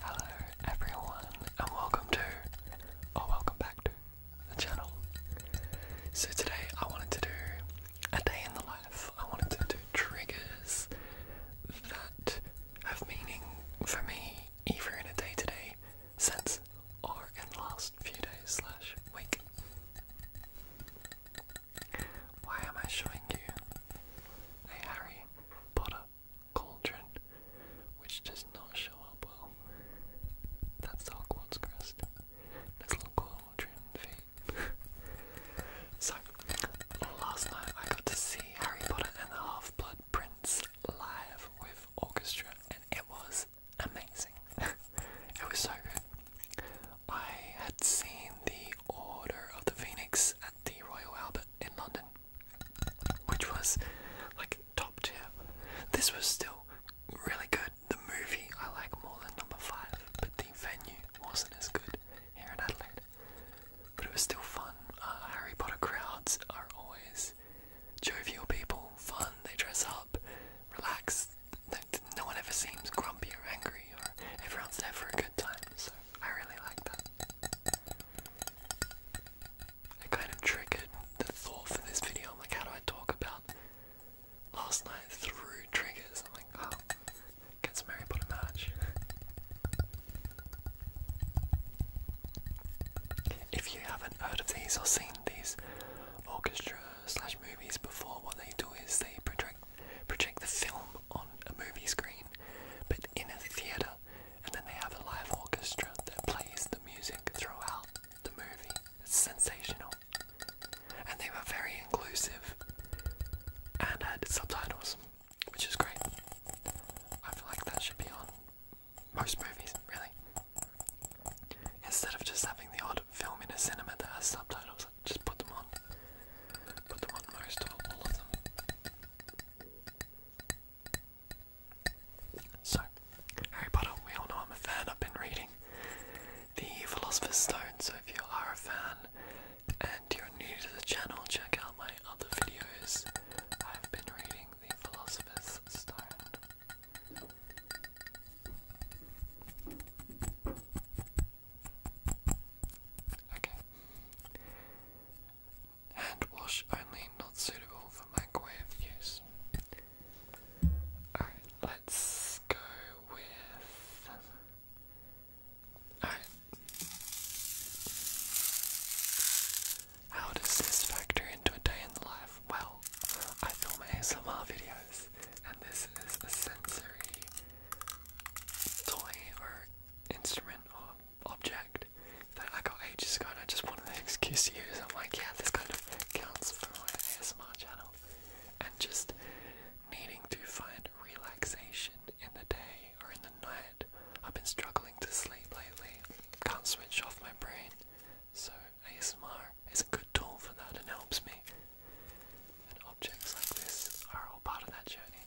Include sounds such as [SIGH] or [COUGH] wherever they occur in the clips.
Hello everyone and welcome to or welcome back to the channel. So today I wanted to do a day in the life. I wanted to do triggers that have meaning for me either in a day to day sense or in the last few days slash week. Why am I showing you a Harry Potter cauldron, which does not show up well. That's Hogwarts crest. Nice little cauldron so, last night I got to see Harry Potter and the Half-Blood Prince live with orchestra, and it was amazing. [LAUGHS] it was so good. I had seen the Order of the Phoenix at the Royal Albert in London, which was like top tier. This was still really good. The movie I like more than number five, but the venue wasn't as good here in Adelaide. But it was still fun. Uh, Harry Potter crowds are always jovial people, fun. They dress up, relax. no one ever seems grumpy or angry, or everyone's there for a good time. So I really like that. I kind of triggered the thought for this video. I'm like, how do I talk about last night through triggers? I'm like, oh, get some Harry Potter merch. if you haven't heard of these or seen these orchestra slash movies before, what they do is they project project the film on a movie screen, but in a theater and then they have a live orchestra that plays the music throughout the movie. It's sensational. And they were very inclusive and had subtitles, which is great. I feel like that should be on most movies, really. Instead of just having the odd film in a cinema that has subtitles, just put them on. Put them on most or all of them. So, Harry Potter, we all know I'm a fan. I've been reading The Philosopher's Stone, so if you are a fan and you're new to the channel, check out my other videos. I've been reading The Philosopher's Stone. Okay. Hand wash only, not suitable for microwave use. Alright, let's go with. Alright. How does this factor into a day in the life? Well, I film ASMR videos, and this is a sensory toy or instrument or object that I got ages ago and I just wanted an excuse to I'm like, yeah, this kind of counts for my ASMR channel. And just needing to find relaxation in the day or in the night. I've been struggling to sleep lately. Can't switch off my brain. So ASMR is a good tool for that and helps me. objects like this are all part of that journey.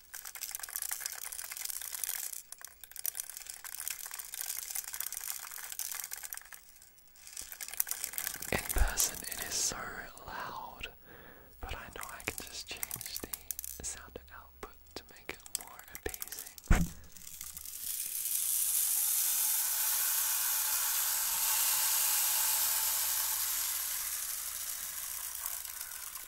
In person, it is so loud, but I know I can just change the sound output to make it more appeasing.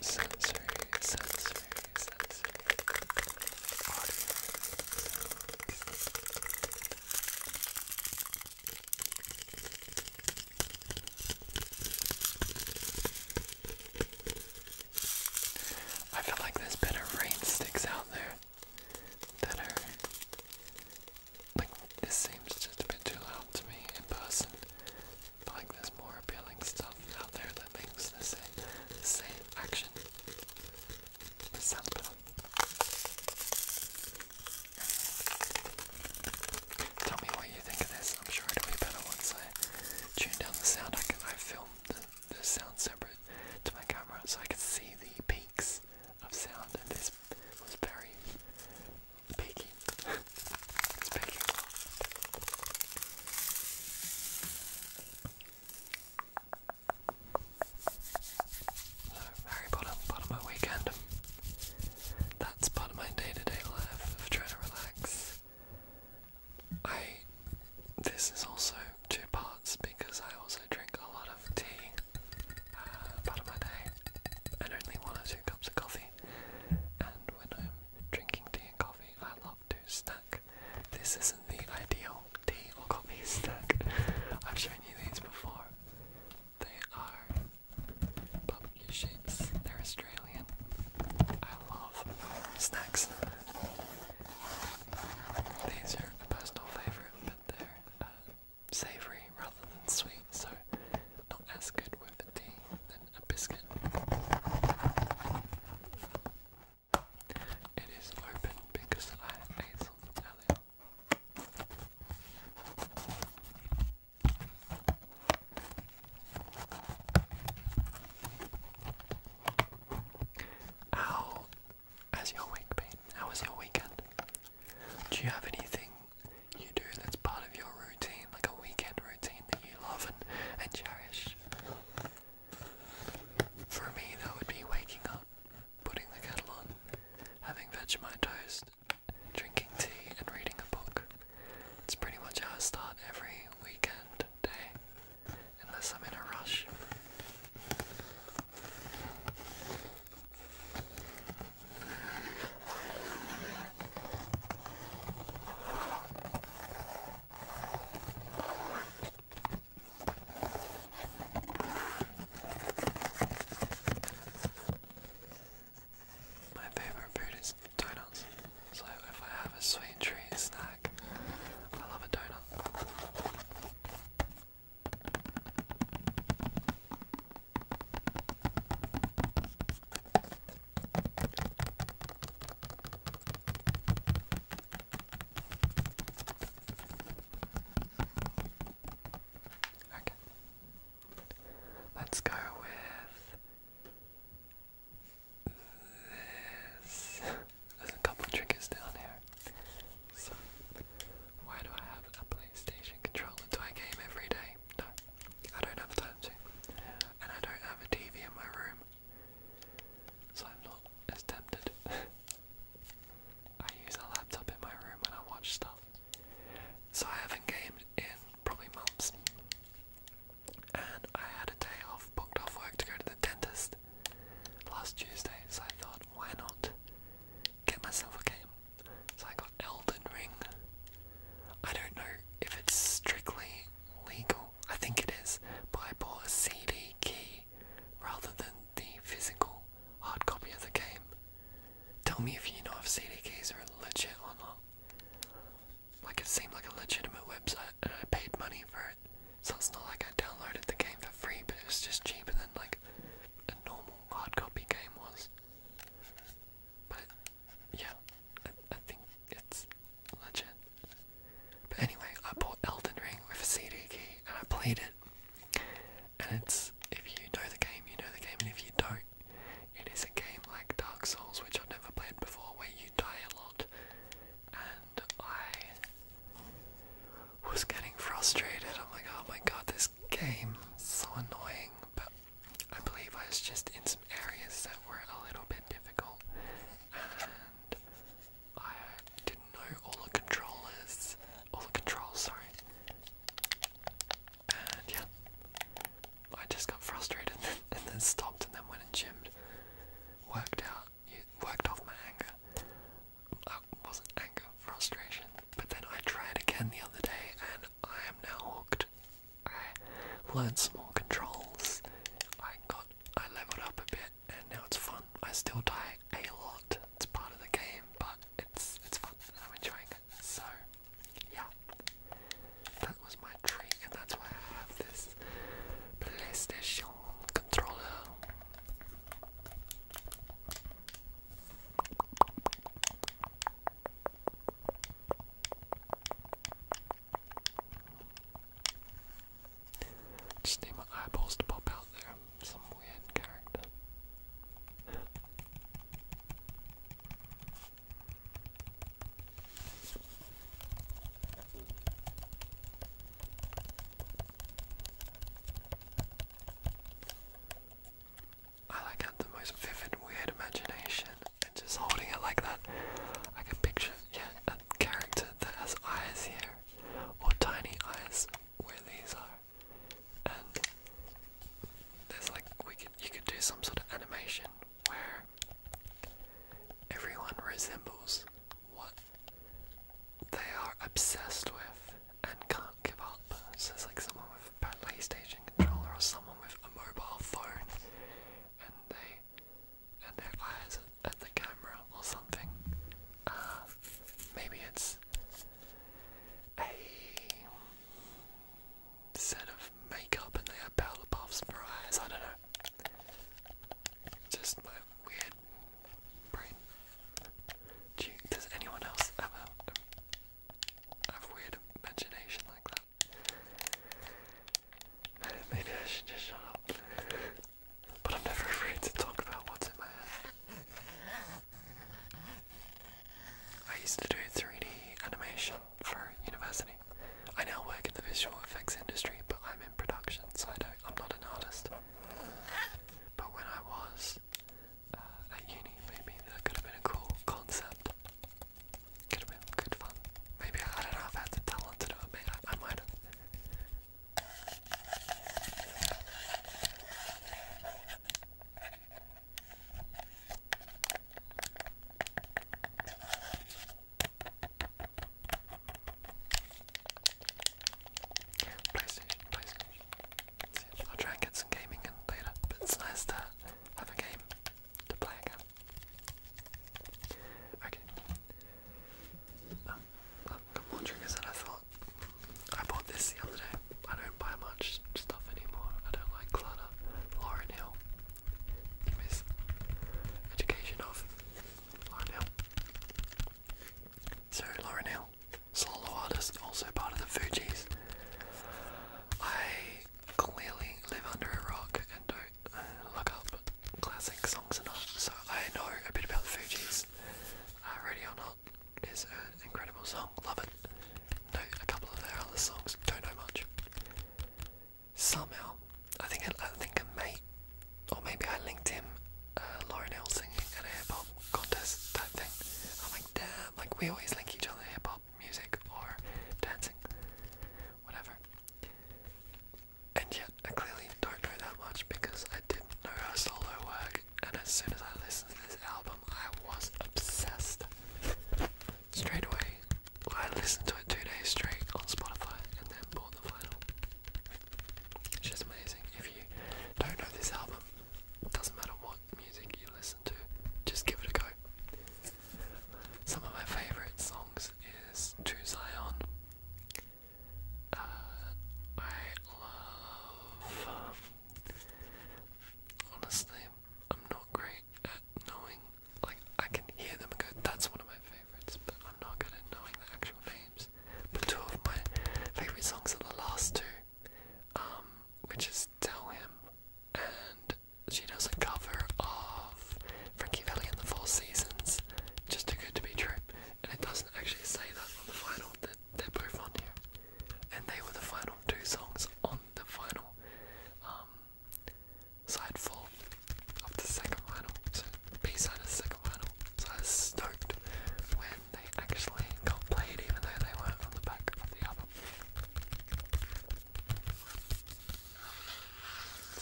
Sensory, sensory, sensory. Audio. Sounds. I feel like there's better rain out there that are like this seems just a bit too loud to me in person. like there's more appealing stuff out there that makes the same same action. Tell me what you think of this. I'm sure it'll be better once I tune down the sound. I can I film the, sound separate to my camera so I can see the peaks of sound, and this was very peaky. [LAUGHS] it's So Harry Potter, part of my weekend. That's part of my day to -day life of trying to relax. I this is also two parts because I also drink a lot of tea uh, part of my day and only one or two cups of coffee. And when I'm drinking tea and coffee, I love to snack. This isn't the ideal tea or coffee [LAUGHS] snack. I've shown you these before. They are barbecue shapes. They're a Australian. I love snacks. These are personal favourite, but they're uh, savoury rather than sweet, so not as good with the tea than a biscuit. It is open because I ate some earlier. How has your week been? How was your weekend? Do you have anything you do that's part of your routine, like a weekend routine that you love and, and cherish? For me, that would be waking up, putting the kettle on, having Vegemite toast, drinking tea, and reading a book. It's pretty much how I start every weekend day, unless I'm in a rush. My favorite food is donuts. So if I have a sweet treat snack, I love a donut. Okay. Let's go with this. There's a couple triggers down here. So, why do I have a PlayStation controller? Do I game every day? No, I don't have time to. And I don't have a TV in my room. So I'm not tempted. [LAUGHS] I use a laptop in my room when I watch stuff. So I haven't gamed in probably months and I had a day off, booked off work to go to the dentist last Tuesday, so I thought, why not get myself a game? So I got Elden Ring. I don't know if it's strictly legal, I think it is, Buy a CD key rather than the physical hard copy of the game. Tell me if you know if CD keys are legit or not like it seemed like a legitimate website and I paid money for it. So it's not like I downloaded the game for free, but it was just cheaper than like a normal hard copy game was. But yeah, I, think it's legit. But anyway, I bought Elden Ring with a CD key and I played it. And it's, if you know the game, you know the game, and if you don't, it is a game like Dark Souls, which I've never played before, where you die a lot. And I was getting frustrated. I'm like, oh my god, this game is so annoying. But I believe I was just in some areas that were a little bit difficult. And I didn't know all the controllers. All the controls, sorry. And yeah. I just got frustrated [LAUGHS] and then stopped and then went and gymmed. Worked out, worked off my anger. I uh, wasn't anger, frustration. But then I tried again the other day and I am now hooked. I learned some more controls. I got, I leveled up a bit and now it's fun. I still die a lot. It's part of the game, but it's it's fun I'm enjoying it. So, yeah. That was my trick, and that's why I have this PlayStation controller. Just need my eyeballs to pop out there. Some weird character. I like had the most vivid, weird imagination, and just holding it like that, I can picture yeah a character that has eyes here, or tiny eyes where these are, and there's like we you could do some sort of animation where Everyone resembles what they are obsessed with and can't give up. it's like someone with a PlayStation controller or someone with a mobile phone and they and their eyes at the camera or something. Uh, maybe it's a set of makeup and they have powder for eyes. I don't know. Just my weird brain. Do does anyone else have have weird imagination like that? [LAUGHS] Maybe I should just shut up. But I'm never afraid to talk about what's in my head. I used to do 3D animation for university. I now work in the visual effects industry, but I'm in production, so I don't, I'm not an artist. But when I was uh, at uni, maybe that could have been a cool concept. Could have been good fun. Maybe I, don't know if I had the talent to do it. Maybe I might have. PlayStation, PlayStation. I'll try and get some gaming in later, but it's nice to have a game to play again. Okay. Oh, I've got more I thought. I bought this the other day. I don't buy much stuff anymore. I don't like clutter. Lauren Hill education of Lauren Hill. So Lauren Hill, solo artist, also part of the Fugees. I clearly live under a rock and don't uh, look up classic songs enough, so I know a bit about the Fugees. Uh, Ready or Not is an incredible song, love it. Know a couple of other songs, don't know much somehow. I think I, think a made, or maybe I linked him, uh, Lauren Hill singing at hip hop contest type thing. I'm like, damn, like we always link each other hip hop music or dancing, whatever. And yet, I clearly don't know that much because I didn't know her solo work, and as soon as I listened to this album, I was obsessed straight away. I listened to it two days straight on Spotify and then bought the vinyl. It's just amazing. If you don't know this album, it doesn't matter what music you listen to, just give it a go. Some of my favourite songs is To Zion. Uh, I love. Um, honestly, I'm not great at knowing like I can hear them and go, that's one of my favourites, but I'm not good at knowing the actual names. But two of my favourite songs are the last two, um, which is Tell Him and she does a cover of Frankie Valli and the Four Seasons, just too good to be true. And it doesn't actually say that on the final, that they're both on here. And they were the final two songs on the final. Um, side four of the second vinyl, so B-side of the second vinyl. So I was stoked when they actually got played even though they weren't on the back of the album.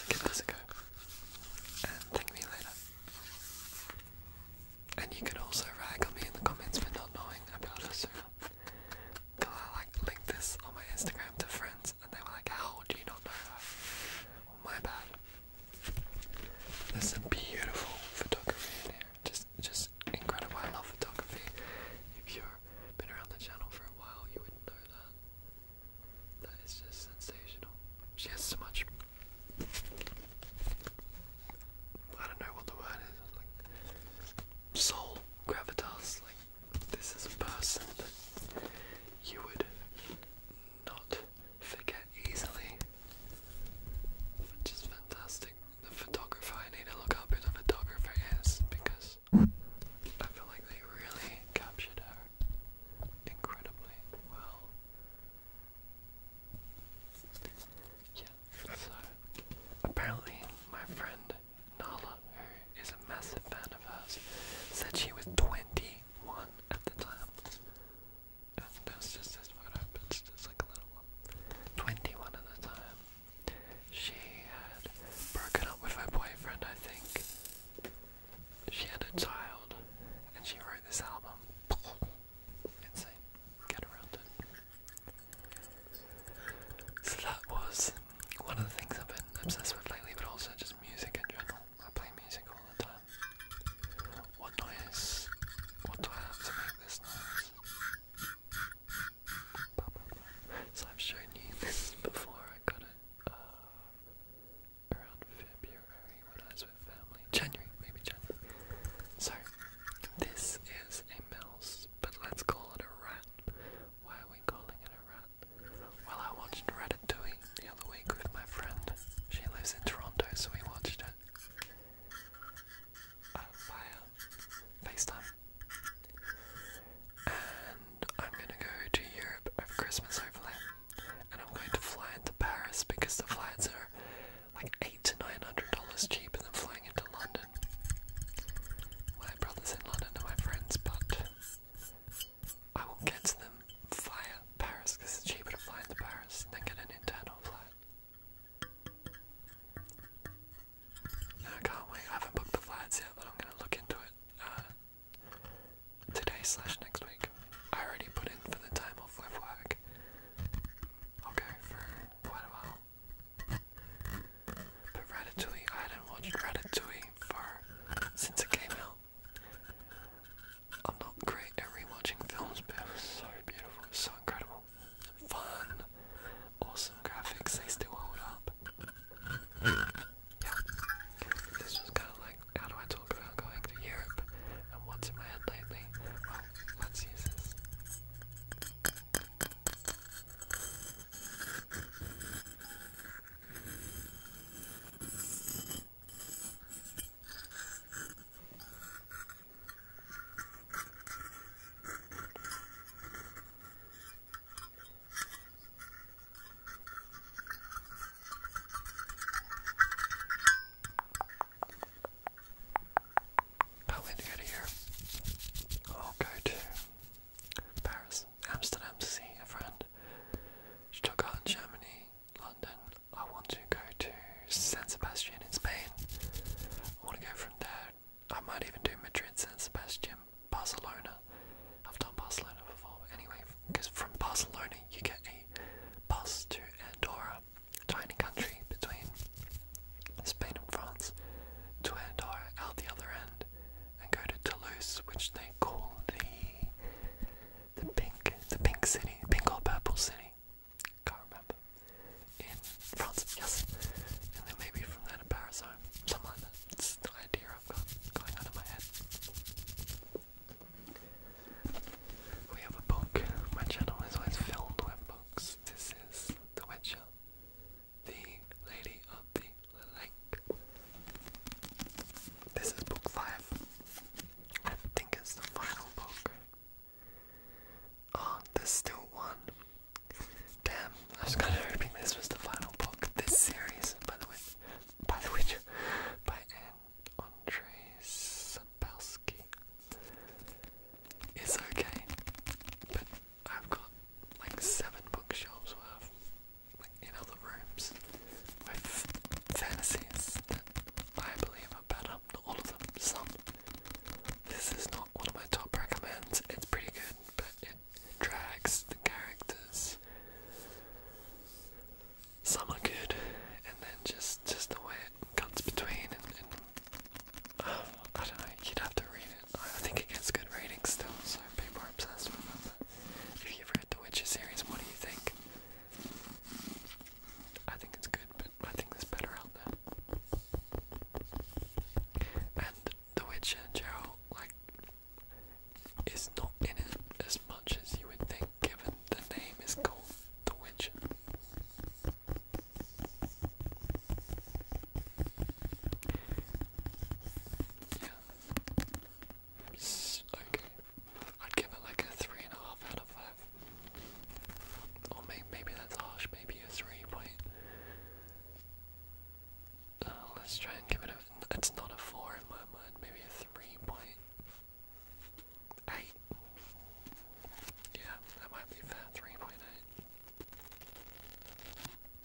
give this a go and thank me later. And you can also rag on me in the comments for not knowing about us Cause I like linked this on my Instagram to friends, and they were like, "How do you not know oh, my bad. There's some beautiful photography in here. Just, just incredible. I love photography. If you have been around the channel for a while, you would know that. That is just sensational. She has so much. I don't know what the word is. soul, gravitas, like this is a person that you would not forget easily, which is fantastic. The photographer, I need to look up who the photographer is because I feel like they really captured her incredibly well. Yeah, so apparently my friend Nala, who is a massive fan of hers, said she was 21 at the time. And there's just this photo, but a little one. 21 at the time. She had broken up with her boyfriend, I think. She had a child, and she wrote this album. [LAUGHS] Insane. Get around it. So that was one of the things I've been obsessed with lately, but also just music in general. I play music all the time. What noise? What do I have to make this noise? So I've shown you this [LAUGHS] before. I got it uh, around February when I was with family. January, maybe January. So this is a mouse, but let's call it a rat. Why are we calling it well, I watched Ratatouille the other week with my friend. She lives in Toronto, so we watched it uh, via FaceTime. And I'm gonna go to Europe for Christmas, hopefully. And I'm going to fly into Paris because the flights are like eight to nine hundred dollars cheaper than flying into London. My brother's in London and my friends, but I will get to them via Paris it's cheaper to fly into Paris than get an internal flight. I can't wait. I haven't booked the flights yet, but I'm going to look into it uh, today slash next week. I already put in for the time off work. i for quite a while. But Ratatouille, I hadn't watched Ratatouille for since it came out. I'm not great at rewatching films, but it was so beautiful, so incredible, fun, awesome graphics. They still hold up. Yeah, this was kind of like how do I talk about going to Europe and what's in my head lately? Well, let's use how many out of here? I'll go to Paris, Amsterdam to see a friend, She took in Germany, London. I want to go to San Sebastian in Spain. I want to go from there. I might even do Madrid, San Sebastian, Barcelona. I've done Barcelona before, anyway, because from Barcelona you get a bus to Andorra, tiny country between Spain and France, to Andorra at the other end, and go to Toulouse, which they call the the pink the pink city, pink or purple city. Can't remember. In France, yes. And then maybe from there to Paris home. Something like that. It's the idea i going on my head. We have a book. My channel is always filled with books. This is The Witcher. The Lady of the Lake. This is book five. I think it's the final book. Oh, there's still one. Damn, I was kinda hoping this was the final book this series, by the way. By the witch [LAUGHS] by Anne Andre Sapowski. It's okay. I've got like seven bookshelves worth, like in other rooms, with fantasies that I believe are better. Not all of them, some. This is not one of my top recommends. It's pretty good, but it drags the characters. Some are good, and then just just the way it cuts between and. and um, [SIGHS] I don't know, you'd have to read it I think it gets good ratings still, so I'm people more obsessed with it. If you've read the Witcher series, what do you think? I think it's good, but I think there's better out there. And The Witcher, Gerald, like, is not in it as much as you would think, given the name is called The Witcher. Yeah. okay. I'd give it like a three and a half out of five. Or maybe maybe that's harsh. Maybe a three point. Uh, let's try and give it a. It's not a four in my mind. Maybe a three point eight. Yeah, that might be fair. Three point eight.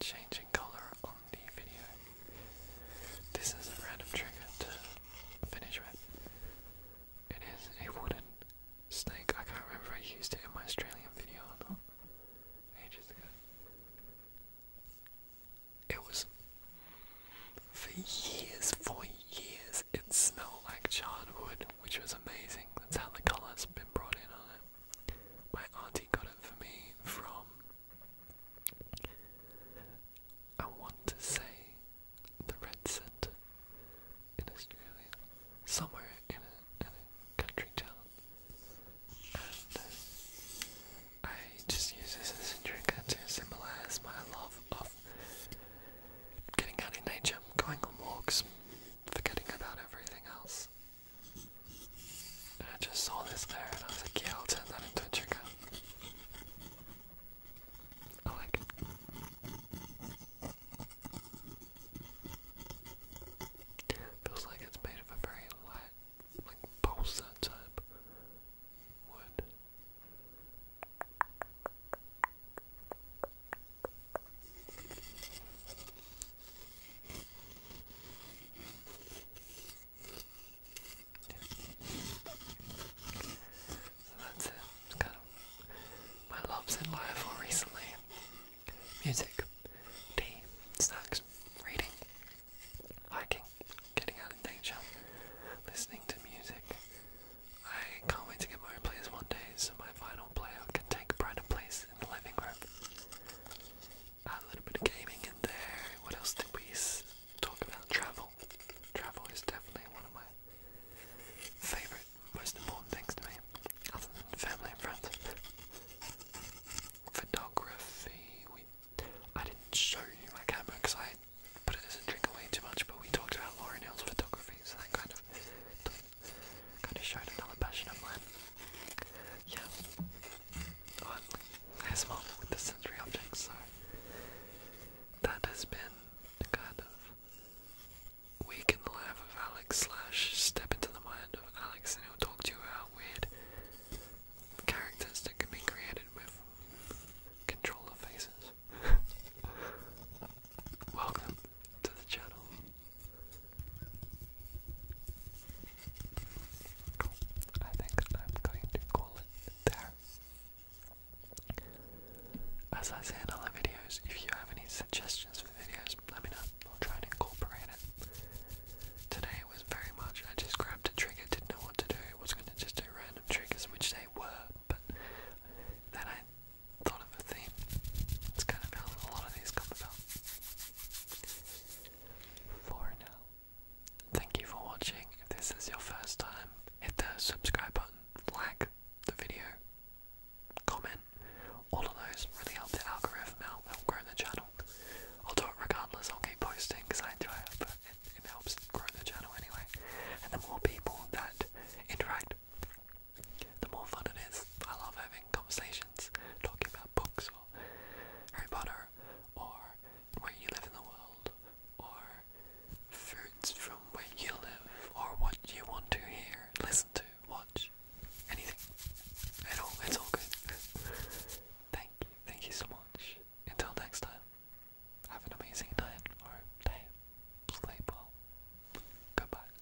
changing colour on the video. This is a random trigger to finish with. It is a wooden snake. I can't remember if I used it in my Australian video or not. Ages ago. It was for years, for years, it smelled like charred wood, which was amazing. That's how the colour's been brought in on it. My auntie got it for me from. I want to say the Red Centre in Australia, somewhere in a, country town, and I just use this as a trigger to symbolise my love of getting out in nature, going on walks, forgetting about everything else, I just saw this there and I was like, yeah, I'll turn that into a trigger. I like Feels like it's made of a very like balsa type wood that's it. kind of my loves in life or recently. Music, tea, snacks, reading, hiking, getting out in nature, listening to music. I can't wait to get my players one day so my vinyl player can take brighter place in the living room. A little bit of gaming in there. What else did we talk about? Travel. Travel is definitely one of my favorite, most important things to me, other than family and friends. Photography. We, I didn't show you my camera because I put it as a drink away too much, but we talked about Lauren Hill's photography, so that kind of Kind of showed another passion of mine. Yeah. I has mom with the sensory objects, so that has been kind of week in the life of Alex step into the mind of Alex and he'll talk to you about weird characters that can be created with controller faces. [LAUGHS] Welcome to the channel. I think I'm going to call it there. As I say in other videos, if you have any suggestions for videos, let me know. I'll try and incorporate it. Today was very much, I just grabbed a trigger, didn't know what to do, I was going to just do random triggers, which they were, but then I thought of a theme. It's kind of how a lot of these come about for now. Thank you for watching. If this is your first time, hit the subscribe button, like the video, comment. All of those really help the algorithm out, help grow the channel. I'll do it regardless, I'll keep posting because I enjoy it, but it, helps grow the channel anyway. And the more people that interact, the more fun it is. I love having conversations, talking about books or Harry Potter or where you live in the world or foods from where you live or what you want to hear, listen to, watch, anything at all. It's all good. thank you, thank you so much. Until next time, have an amazing night or day. Sleep well. Goodbye.